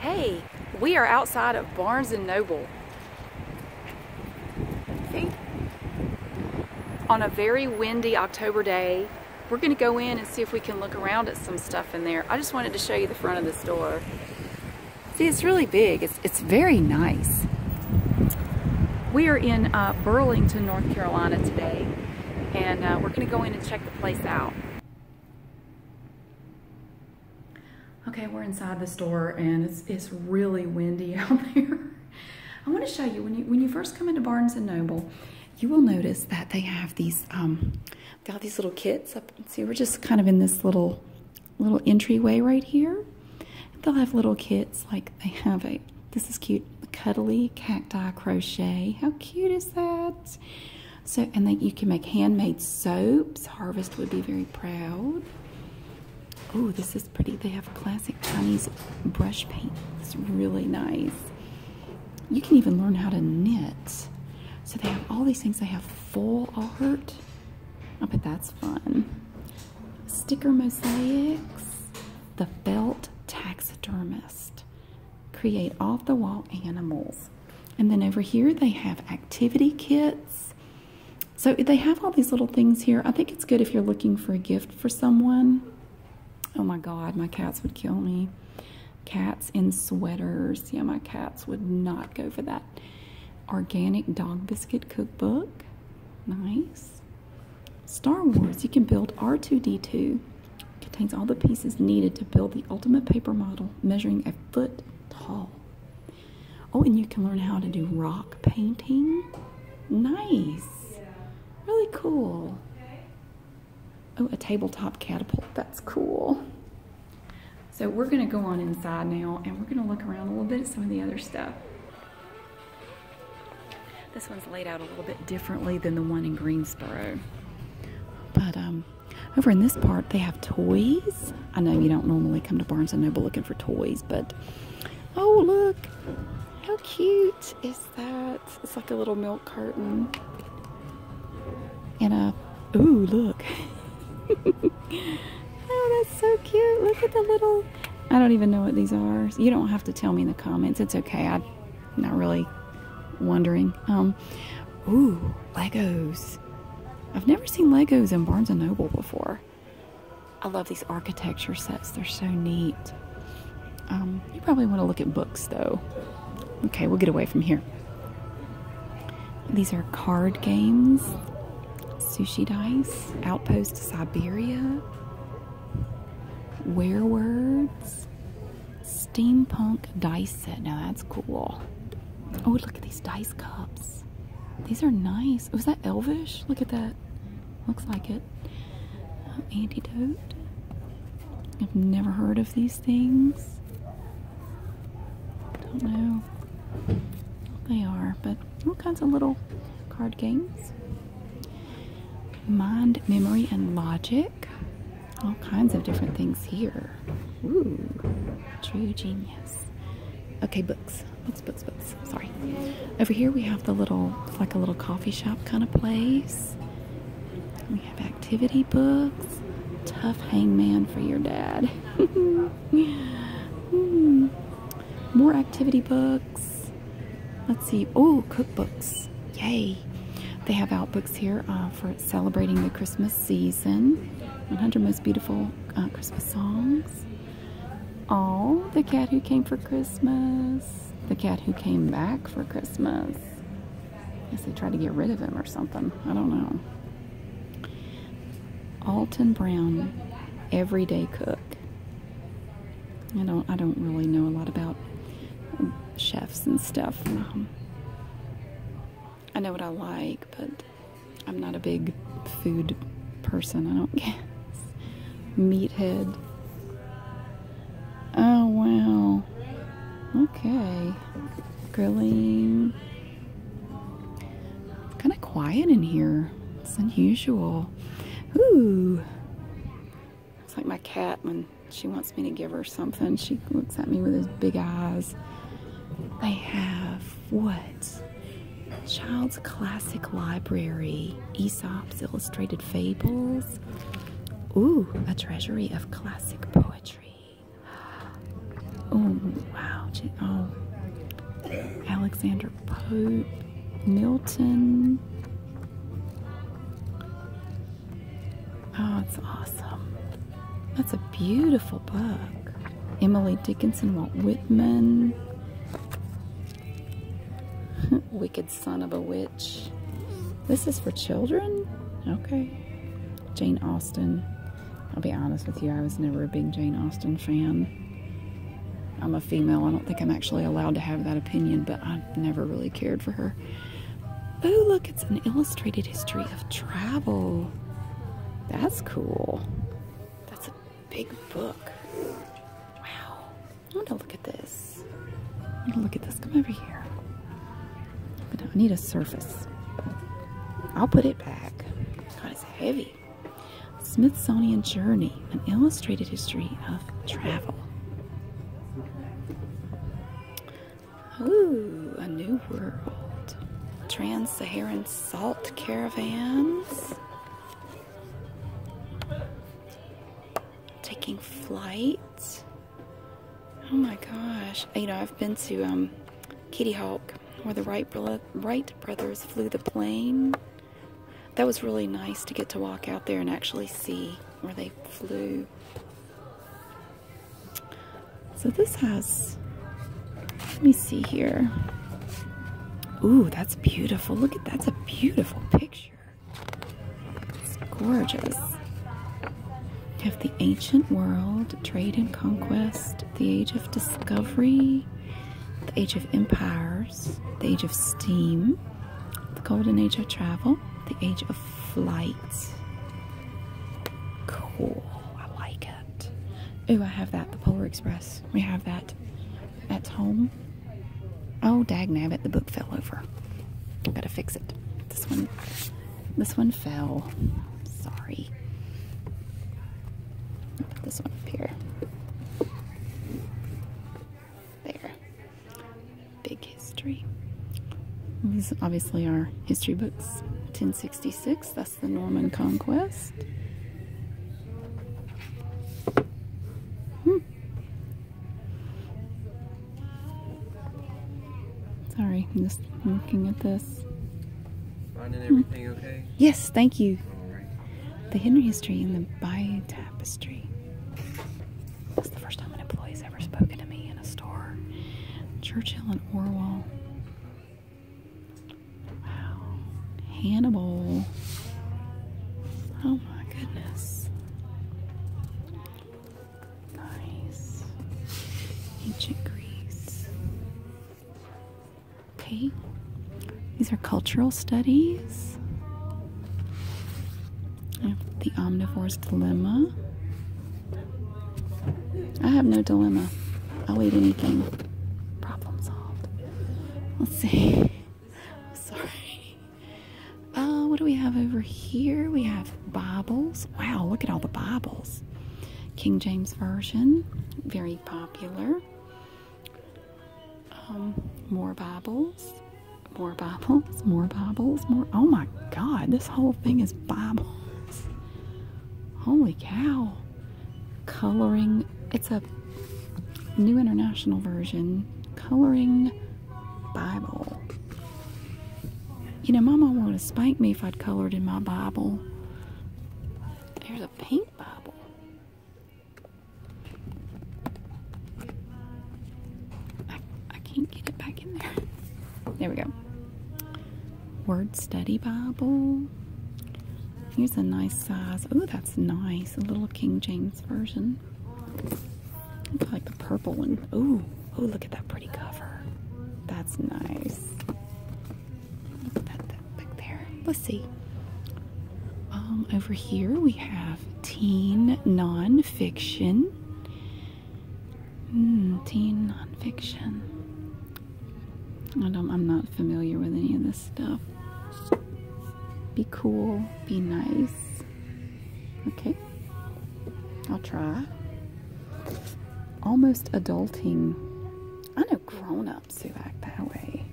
Hey, we are outside of Barnes & Noble. Hey. On a very windy October day, we're gonna go in and see if we can look around at some stuff in there. I just wanted to show you the front of the store. See, it's really big. It's, very nice. We are in uh, Burlington, North Carolina today, and uh, we're gonna go in and check the place out. Okay, we're inside the store and it's, it's really windy out there. I want to show you when you when you first come into Barnes and Noble, you will notice that they have these um, they these little kits up. See, we're just kind of in this little little entryway right here. They'll have little kits like they have a this is cute cuddly cacti crochet. How cute is that? So, and then you can make handmade soaps. Harvest would be very proud. Oh, this is pretty. They have classic Chinese brush paint. It's really nice. You can even learn how to knit. So they have all these things. They have full art. I bet that's fun. Sticker mosaics. The felt taxidermist create off the wall animals. And then over here, they have activity kits. So they have all these little things here. I think it's good if you're looking for a gift for someone. Oh my God, my cats would kill me. Cats in sweaters. Yeah, my cats would not go for that. Organic dog biscuit cookbook. Nice. Star Wars. You can build R2D2. Contains all the pieces needed to build the ultimate paper model measuring a foot tall. Oh, and you can learn how to do rock painting. Nice. Really cool. Oh, a tabletop catapult. That's cool. So we're going to go on inside now and we're going to look around a little bit at some of the other stuff. This one's laid out a little bit differently than the one in Greensboro. But um, over in this part, they have toys. I know you don't normally come to Barnes & Noble looking for toys, but oh, look. How cute is that? It's like a little milk carton. And a, ooh, look. oh, that's so cute. Look at the little, I don't even know what these are. You don't have to tell me in the comments. It's okay. I not really wondering. Um, ooh, Legos. I've never seen Legos in Barnes & Noble before. I love these architecture sets. They're so neat. Um, you probably want to look at books, though. Okay, we'll get away from here. These are card games, sushi dice, outpost Siberia, where words, Steampunk dice set. Now that's cool. Oh, look at these dice cups. These are nice. Was that elvish? Look at that. Looks like it. Oh, antidote. I've never heard of these things. Don't know what they are, but all kinds of little card games. Mind, memory, and logic all kinds of different things here. Ooh, true genius. Okay, books, books, books, books. Sorry. Over here we have the little, like a little coffee shop kind of place. We have activity books. Tough hangman for your dad. hmm. More activity books. Let's see. Oh, cookbooks. Yay. They have out books here uh, for celebrating the Christmas season, 100 most beautiful uh, Christmas songs, all the cat who came for Christmas, the cat who came back for Christmas. I guess they tried to get rid of him or something. I don't know. Alton Brown, everyday cook. I don't. I don't really know a lot about chefs and stuff. Um, I know what I like, but I'm not a big food person, I don't guess. Meathead. Oh, wow. Okay. Grilling. kind of quiet in here. It's unusual. Ooh. It's like my cat when she wants me to give her something. She looks at me with those big eyes. They have what? Child's Classic Library, Aesop's Illustrated Fables. Ooh, a treasury of classic poetry. Oh, wow. Oh. Alexander Pope, Milton. Oh, it's awesome. That's a beautiful book. Emily Dickinson, Walt Whitman. Wicked Son of a Witch. This is for children? Okay. Jane Austen. I'll be honest with you, I was never a big Jane Austen fan. I'm a female. I don't think I'm actually allowed to have that opinion, but I never really cared for her. Oh, look, it's an illustrated history of travel. That's cool. That's a big book. Wow. I want to look at this. look at this. Come over here. I need a surface. I'll put it back. God, it's heavy. Smithsonian Journey, an illustrated history of travel. Ooh, a new world. Trans-Saharan salt caravans. Taking flight. Oh my gosh. You know, I've been to um, Kitty Hawk where the Wright brothers flew the plane. That was really nice to get to walk out there and actually see where they flew. So this has, let me see here. Ooh, that's beautiful. Look at that's a beautiful picture. It's gorgeous. have the ancient world, trade and conquest, the age of discovery, the age of empires, the age of steam, the golden age of travel, the age of flight, Cool. I like it. Ooh, I have that. The Polar Express. We have that. That's home. Oh, dag it The book fell over. Gotta fix it. This one. This one fell. Sorry. put this one up here. There. Big history. These obviously are history books. 1060 1166. That's the Norman Conquest. Hmm. Sorry, I'm just looking at this. Hmm. Yes, thank you. The Henry history and the Bay tapestry. That's the first time an employee has ever spoken to me in a store. Churchill and Orwell. Wow. Hannibal. Oh my goodness. Nice. Ancient Greece. Okay. These are cultural studies. the omnivore's dilemma. I have no dilemma. I'll eat anything. Problem solved. Let's see. i sorry. Uh, what do we have over here? We have Bibles. Wow, look at all the Bibles. King James Version, very popular. Um, more Bibles, more Bibles, more Bibles, more. Oh my God, this whole thing is Bibles. Holy cow! Coloring. It's a new international version. Coloring Bible. You know, Mama wanted to spank me if I'd colored in my Bible. There's a pink Bible. I, I can't get it back in there. There we go. Word Study Bible. Here's a nice size. Oh, that's nice. A little King James Version. like the purple one. Oh, oh, look at that pretty cover. That's nice. Put that, that back there. Let's see. Um, over here we have teen nonfiction. Mm, teen nonfiction. I am not familiar with any of this stuff. Be cool, be nice. Okay, I'll try. Almost adulting. I know grown ups who act that way,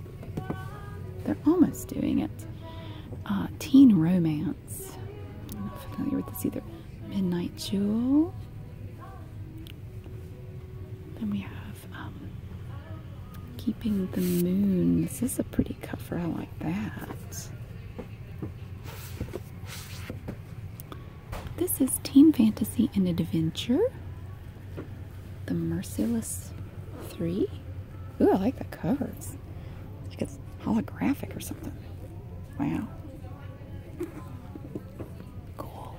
they're almost doing it. Uh, teen romance. I'm not familiar with this either. Midnight Jewel. Then we have um, Keeping the Moon. This is a pretty cover. I like that. This is Teen Fantasy and Adventure. The Merciless 3. Ooh, I like the covers. like it's holographic or something. Wow. Cool.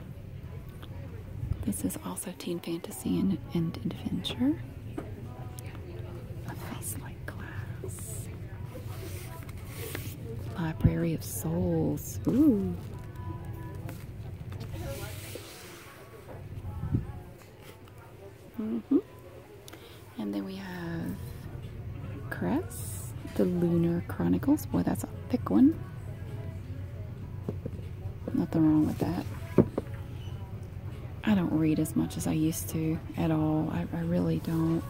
This is also teen fantasy and, and adventure. A like glass. Library of Souls. Ooh. hmm And then we have Cress, The Lunar Chronicles. Boy, that's a thick one. Nothing wrong with that. I don't read as much as I used to at all. I, I really don't.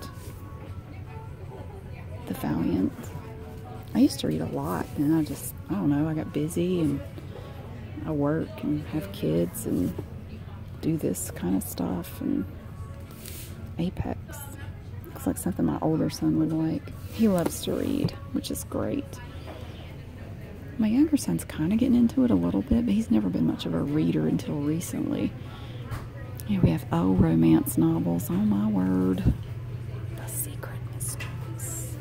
The Valiant. I used to read a lot and I just, I don't know, I got busy and I work and have kids and do this kind of stuff and Apex. Looks like something my older son would like. He loves to read, which is great. My younger son's kind of getting into it a little bit, but he's never been much of a reader until recently. Here we have old oh, romance novels. Oh my word. The Secret Mistress.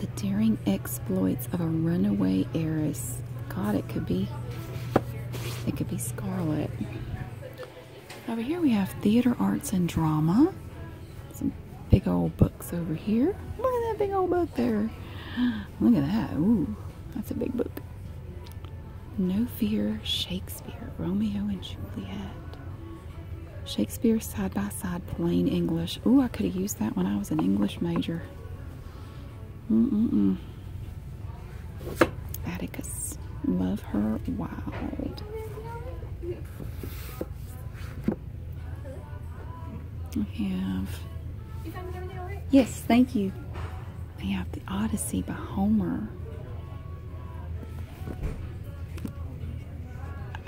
The Daring exploits of a runaway heiress. God, it could be. It could be Scarlet. Over here we have theater arts and drama. Some big old books over here. Look at that big old book there. Look at that. Ooh, that's a big book. No Fear Shakespeare, Romeo and Juliet. Shakespeare side by side plain English. Ooh, I could have used that when I was an English major. Atticus. Love her wild. I have. Yes, thank you. I have the Odyssey by Homer.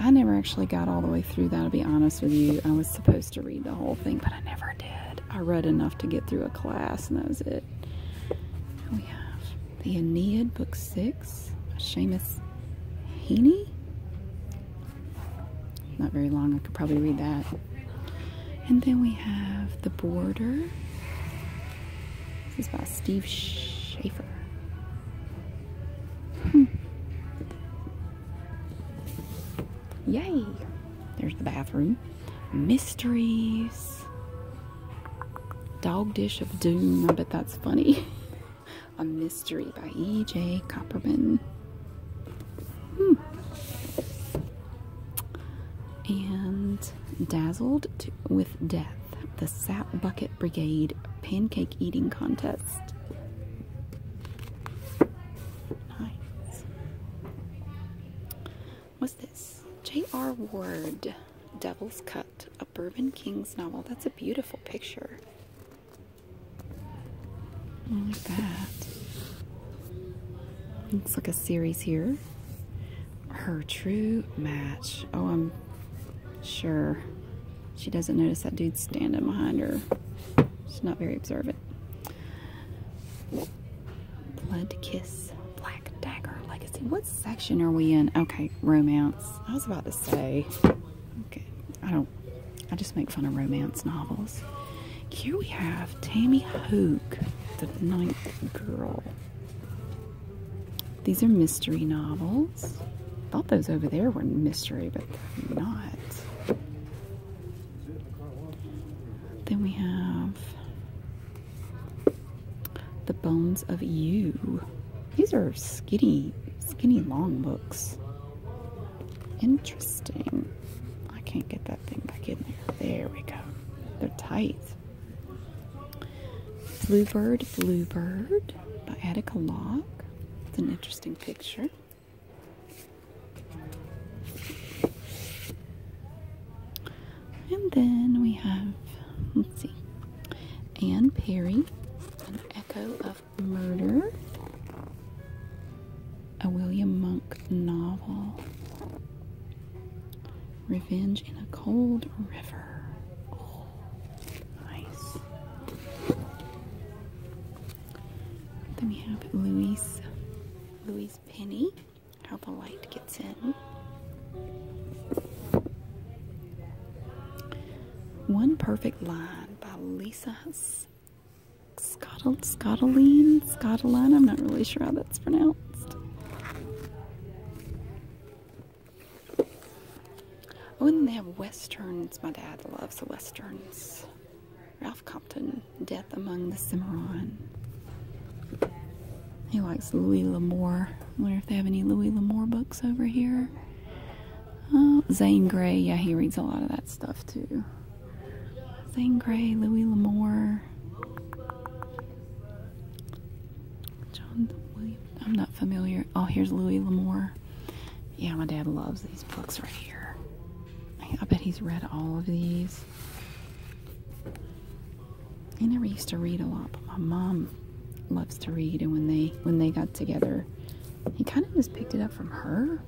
I never actually got all the way through that, to be honest with you. I was supposed to read the whole thing, but I never I read enough to get through a class, and that was it. we have The Aeneid, Book 6 by Seamus Heaney. Not very long, I could probably read that. And then we have The Border. This is by Steve Schaefer. Hmm. Yay! There's the bathroom. Mysteries. Dog Dish of Doom. I bet that's funny. A Mystery by E.J. Copperman. Hmm. And Dazzled with Death. The Sap Bucket Brigade Pancake Eating Contest. What's this? J.R. Ward, Devil's Cut, a Bourbon King's novel. That's a beautiful picture. I like that. Looks like a series here. Her true match. Oh, I'm sure she doesn't notice that dude standing behind her. She's not very observant. Blood Kiss, Black Dagger Legacy. What section are we in? Okay, romance. I was about to say, okay, I don't, I just make fun of romance novels. Here we have Tammy Hogue, The Ninth Girl. These are mystery novels. I thought those over there were mystery, but they're not. Then we have The Bones of You. These are skinny, skinny long books. Interesting. I can't get that thing back in there. There we go. They're tight. Bluebird, Bluebird by Attica Locke. It's an interesting picture. And then we have, let's see, Anne Perry, An Echo of Murder, a William Monk novel, Revenge in a Cold River. Oh, nice. Then we have Louise Louise Penny, how the light gets in. One Perfect Line by Lisa Scottal Scottoline, Scottoline, I'm not really sure how that's pronounced. Oh, and they have westerns. My dad loves the westerns. Ralph Compton, Death Among the Cimarron. He likes Louis L'Amour. wonder if they have any Louis L'Amour books over here. Uh, Zane Grey, yeah, he reads a lot of that stuff too. Zane Grey, Louis L'Amour. John William, I'm not familiar. Oh, here's Louis L'Amour. Yeah, my dad loves these books right here. I bet he's read all of these. I never used to read a lot, but my mom loves to read, and when they when they got together, he kind of just picked it up from her.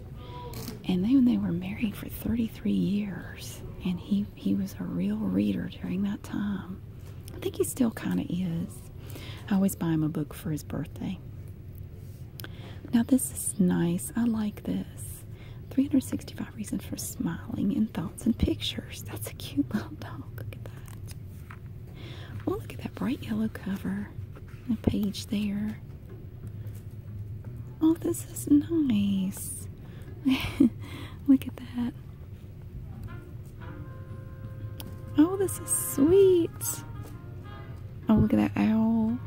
And then they were married for 33 years, and he he was a real reader during that time. I think he still kind of is. I always buy him a book for his birthday. Now this is nice. I like this. 365 reasons for smiling in thoughts and pictures. That's a cute little dog. Look at that. Oh, look at that bright yellow cover. The page there. Oh, this is nice. look at that. Oh, this is sweet. Oh, look at that owl.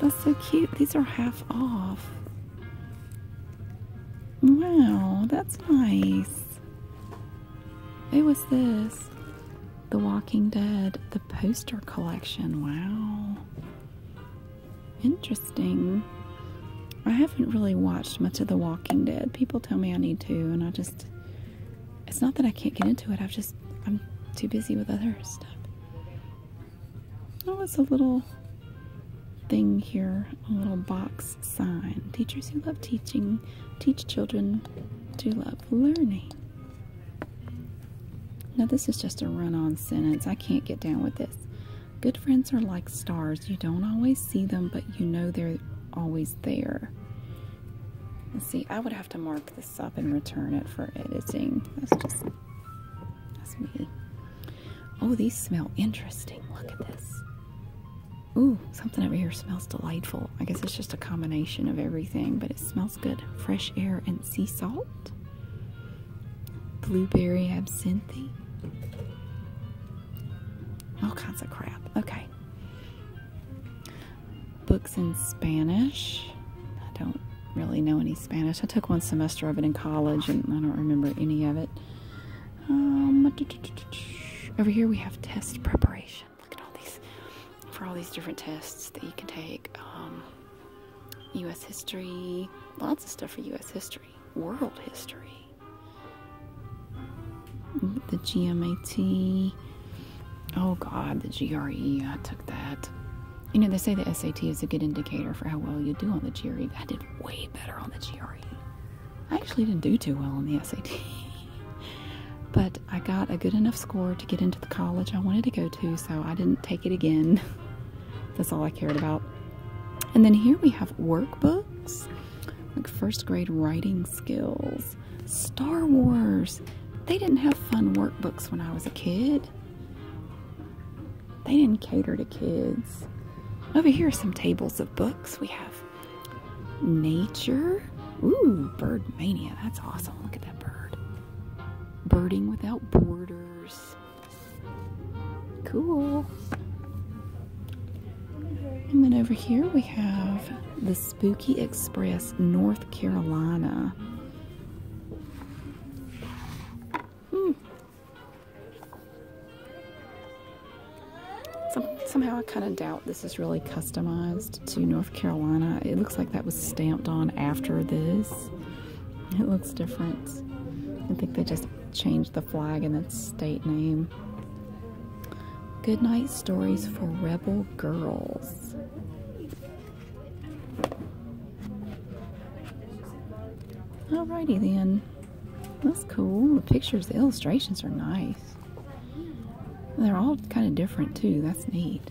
That's so cute. These are half off. Wow, that's nice. Who was this? The Walking Dead, the poster collection. Wow. Interesting. I haven't really watched much of The Walking Dead. People tell me I need to, and I just it's not that I can't get into it. I've just I'm too busy with other stuff. Oh, it's a little thing here, a little box sign. Teachers who love teaching teach children to love learning. Now this is just a run-on sentence. I can't get down with this. Good friends are like stars. You don't always see them, but you know they're always there. Let's see, I would have to mark this up and return it for editing. Oh, these smell interesting. Look at this. Ooh, something over here smells delightful. I guess it's just a combination of everything, but it smells good. Fresh air and sea salt. Blueberry absinthe. All kinds of crap. Okay books in Spanish. I don't really know any Spanish. I took one semester of it in college and I don't remember any of it. Um, over here we have test preparation. Look at all these, for all these different tests that you can take. U.S. Um, history, lots of stuff for U.S. history, world history. The GMAT, Oh God, the GRE, I took that. You know, they say the SAT is a good indicator for how well you do on the GRE. I did way better on the GRE. I actually didn't do too well on the SAT. but I got a good enough score to get into the college I wanted to go to, so I didn't take it again. That's all I cared about. And then here we have workbooks, like first grade writing skills. Star Wars. They didn't have fun workbooks when I was a kid. They didn't cater to kids. Over here are some tables of books. We have Nature. Ooh, Bird Mania. That's awesome. Look at that bird. Birding Without Borders. Cool. And then over here we have this. Spooky Express, North Carolina. Hmm. somehow I kind of doubt this is really customized to North Carolina. It looks like that was stamped on after this. It looks different. I think they just changed the flag and the state name. Goodnight Stories for Rebel Girls. Alrighty then. That's cool. The pictures, the illustrations are nice. They're all kind of different too. That's neat.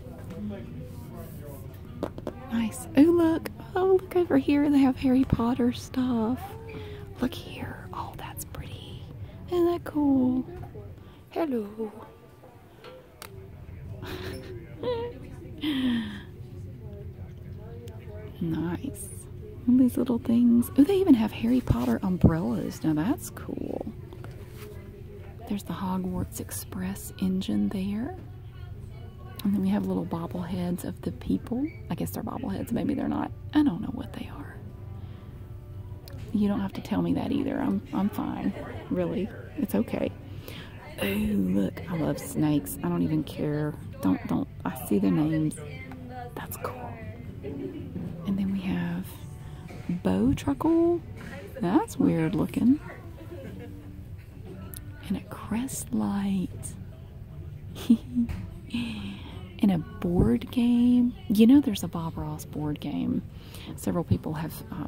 Nice. Oh, look. Oh, look over here. They have Harry Potter stuff. Look here. Oh, that's pretty. Isn't that cool? Hello. nice. All these little things. Oh, they even have Harry Potter umbrellas. Now that's cool. There's the Hogwarts Express engine there. And then we have little bobbleheads of the people. I guess they're bobbleheads. Maybe they're not. I don't know what they are. You don't have to tell me that either. I'm, I'm fine. Really. It's okay. Oh, look, I love snakes. I don't even care. Don't, don't. I see their names. That's cool. And then we have bow truckle. That's weird looking. In a crest light. and a board game. You know, there's a Bob Ross board game several people have uh,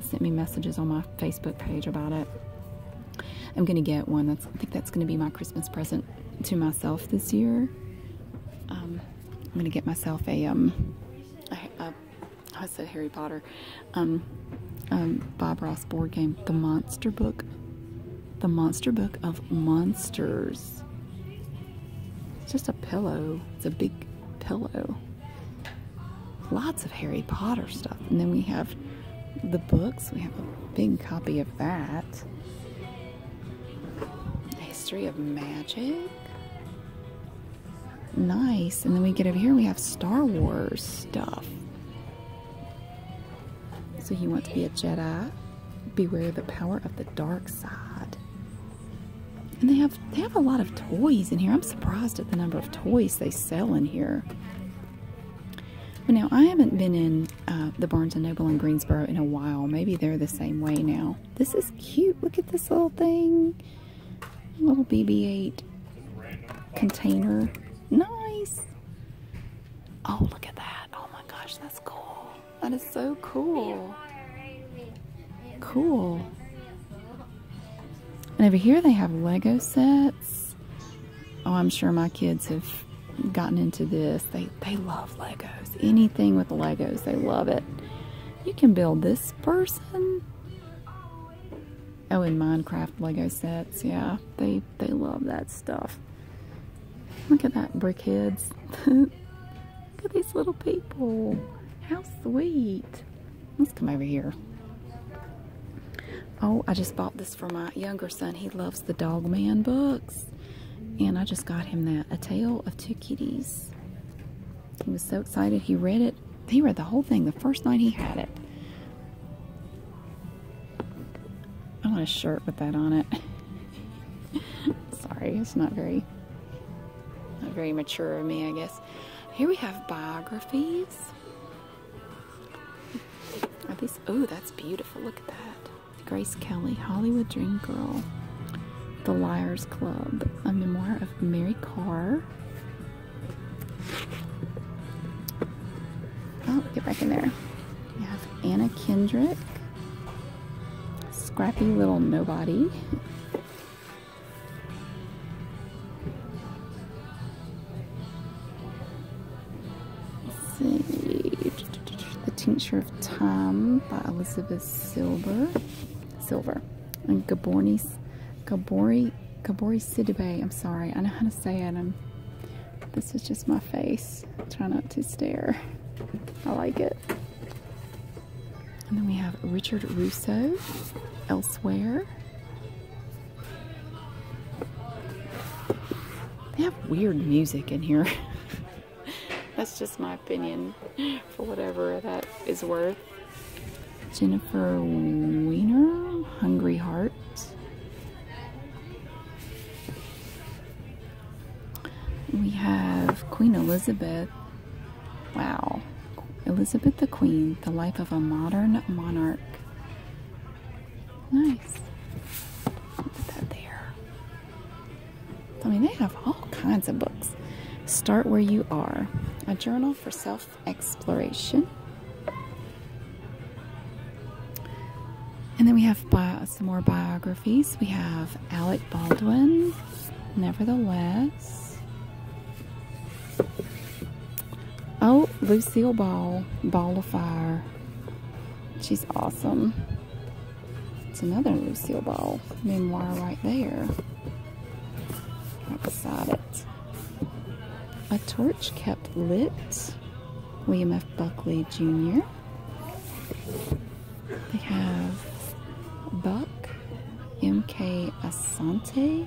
sent me messages on my Facebook page about it. I'm gonna get one. I think that's gonna be my Christmas present to myself this year. Um, I'm gonna get myself a um, a, a, I said Harry Potter, um, um, Bob Ross board game, the Monster Book, the Monster Book of Monsters. It's just a pillow. It's a big pillow lots of Harry Potter stuff. And then we have the books. We have a big copy of that. History of Magic. Nice. And then we get over here we have Star Wars stuff. So he wants to be a Jedi? Beware the power of the dark side. And they have they have a lot of toys in here. I'm surprised at the number of toys they sell in here. But now I haven't been in uh, the Barnes and Noble in Greensboro in a while. Maybe they're the same way now. This is cute. Look at this little thing. little BB-8 container. Nice. Oh, look at that. Oh my gosh, that's cool. That is so cool. Cool. And over here they have Lego sets. Oh, I'm sure my kids have gotten into this. They, they love Legos. Anything with Legos, they love it. You can build this person. Oh, and Minecraft Lego sets. Yeah, they, they love that stuff. Look at that, brick heads. Look at these little people. How sweet. Let's come over here. Oh, I just bought this for my younger son. He loves the Dog Man books. And I just got him that. A Tale of Two Kitties. He was so excited. He read it. He read the whole thing the first night he had it. I want a shirt with that on it. Sorry, it's not very not very mature of me, I guess. Here we have biographies. Oh, that's beautiful. Look at that. Grace Kelly, Hollywood Dream Girl, The Liars Club, a memoir of Mary Carr. Oh, get back in there. We have Anna Kendrick, Scrappy Little Nobody, the Tincture of Time by Elizabeth Silver. Silver. And Gabori, Gabori, Gabori Sidibe. I'm sorry, I know how to say it. I'm, this is just my face. Try not to stare. I like it. And then we have Richard Russo, Elsewhere. They have weird music in here. That's just my opinion for whatever that is worth. Jennifer Weiner, Hungry Heart. We have Queen Elizabeth Wow. Elizabeth the Queen, The Life of a Modern Monarch. Nice. Put that there. I mean, they have all kinds of books. Start Where You Are, a journal for self exploration. And then we have some more biographies. We have Alec Baldwin, Nevertheless. Oh, Lucille Ball, Ball of Fire. She's awesome. It's another Lucille Ball memoir right there. Right beside it. A Torch Kept Lit, William F. Buckley Jr. They have Buck, M.K. Asante,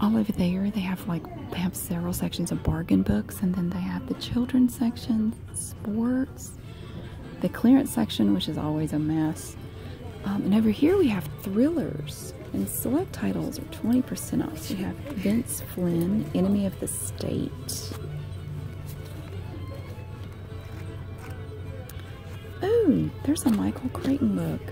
all over there they have like they have several sections of bargain books and then they have the children's section sports the clearance section which is always a mess um, and over here we have thrillers and select titles are 20% off We have vince flynn enemy of the state oh there's a michael creighton book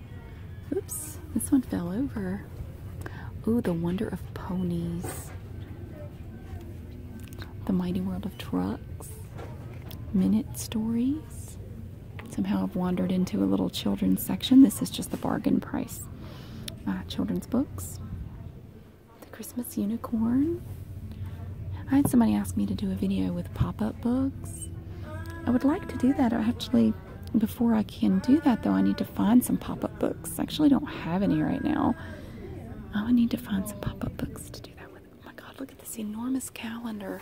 Oops, this one fell over. Ooh, The Wonder of Ponies. The Mighty World of Trucks. Minute Stories. Somehow I've wandered into a little children's section. This is just the bargain price. Uh, children's books. The Christmas Unicorn. I had somebody ask me to do a video with pop-up books. I would like to do that actually. Before I can do that though, I need to find some pop up books. actually don't have any right now. Oh, I would need to find some pop up books to do that with. Oh my god, look at this enormous calendar!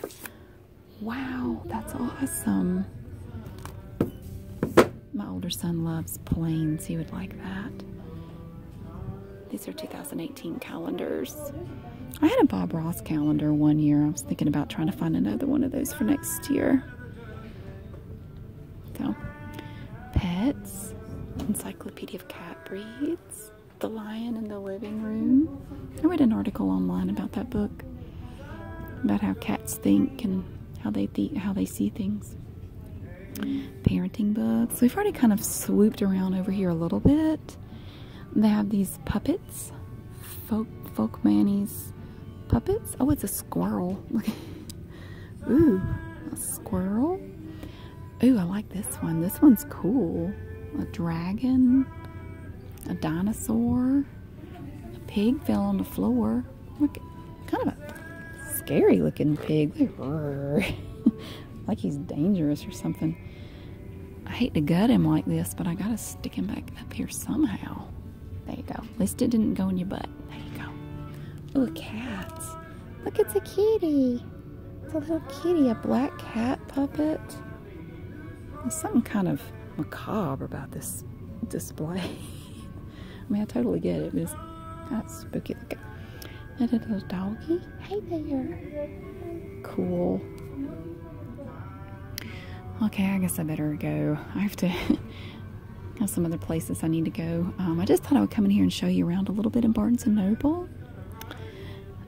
Wow, that's awesome. My older son loves planes, he would like that. These are 2018 calendars. I had a Bob Ross calendar one year. I was thinking about trying to find another one of those for next year. So, pets, Encyclopedia of Cat Breeds, The Lion in the Living Room. I read an article online about that book, about how cats think and how they how they see things. Parenting books. We've already kind of swooped around over here a little bit. They have these puppets, folk folk manis, puppets. Oh, it's a squirrel. Ooh, a squirrel. Ooh, I like this one. This one's cool. A dragon, a dinosaur, a pig fell on the floor. Look, kind of a scary looking pig. like he's dangerous or something. I hate to gut him like this, but I gotta stick him back up here somehow. There you go. At least it didn't go in your butt. There you go. Ooh, cats. Look, it's a kitty. It's a little kitty, a black cat puppet. There's something kind of macabre about this display. I mean, I totally get it, but it's kind spooky looking. That little doggy. Hey there. Cool. Okay, I guess I better go. I have to have some other places I need to go. Um, I just thought I would come in here and show you around a little bit in Barnes and Noble.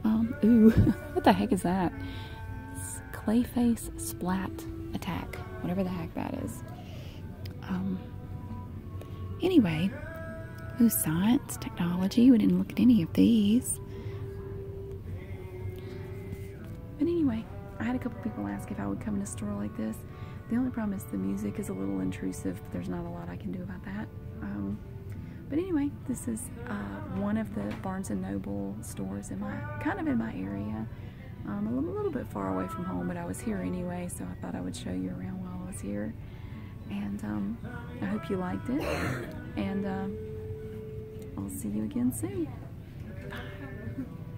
Um, ooh, what the heck is that? It's Clayface Splat Attack, whatever the heck that is. Um, anyway, ooh, science, technology. We didn't look at any of these. But anyway, I had a couple people ask if I would come in a store like this. The only problem is the music is a little intrusive, but there's not a lot I can do about that. Um, but anyway, this is uh, one of the Barnes & Noble stores in my, kind of in my area. Um, a little bit far away from home, but I was here anyway, so I thought I would show you around while I was here. And um, I hope you liked it. And uh, I'll see you again soon. Bye.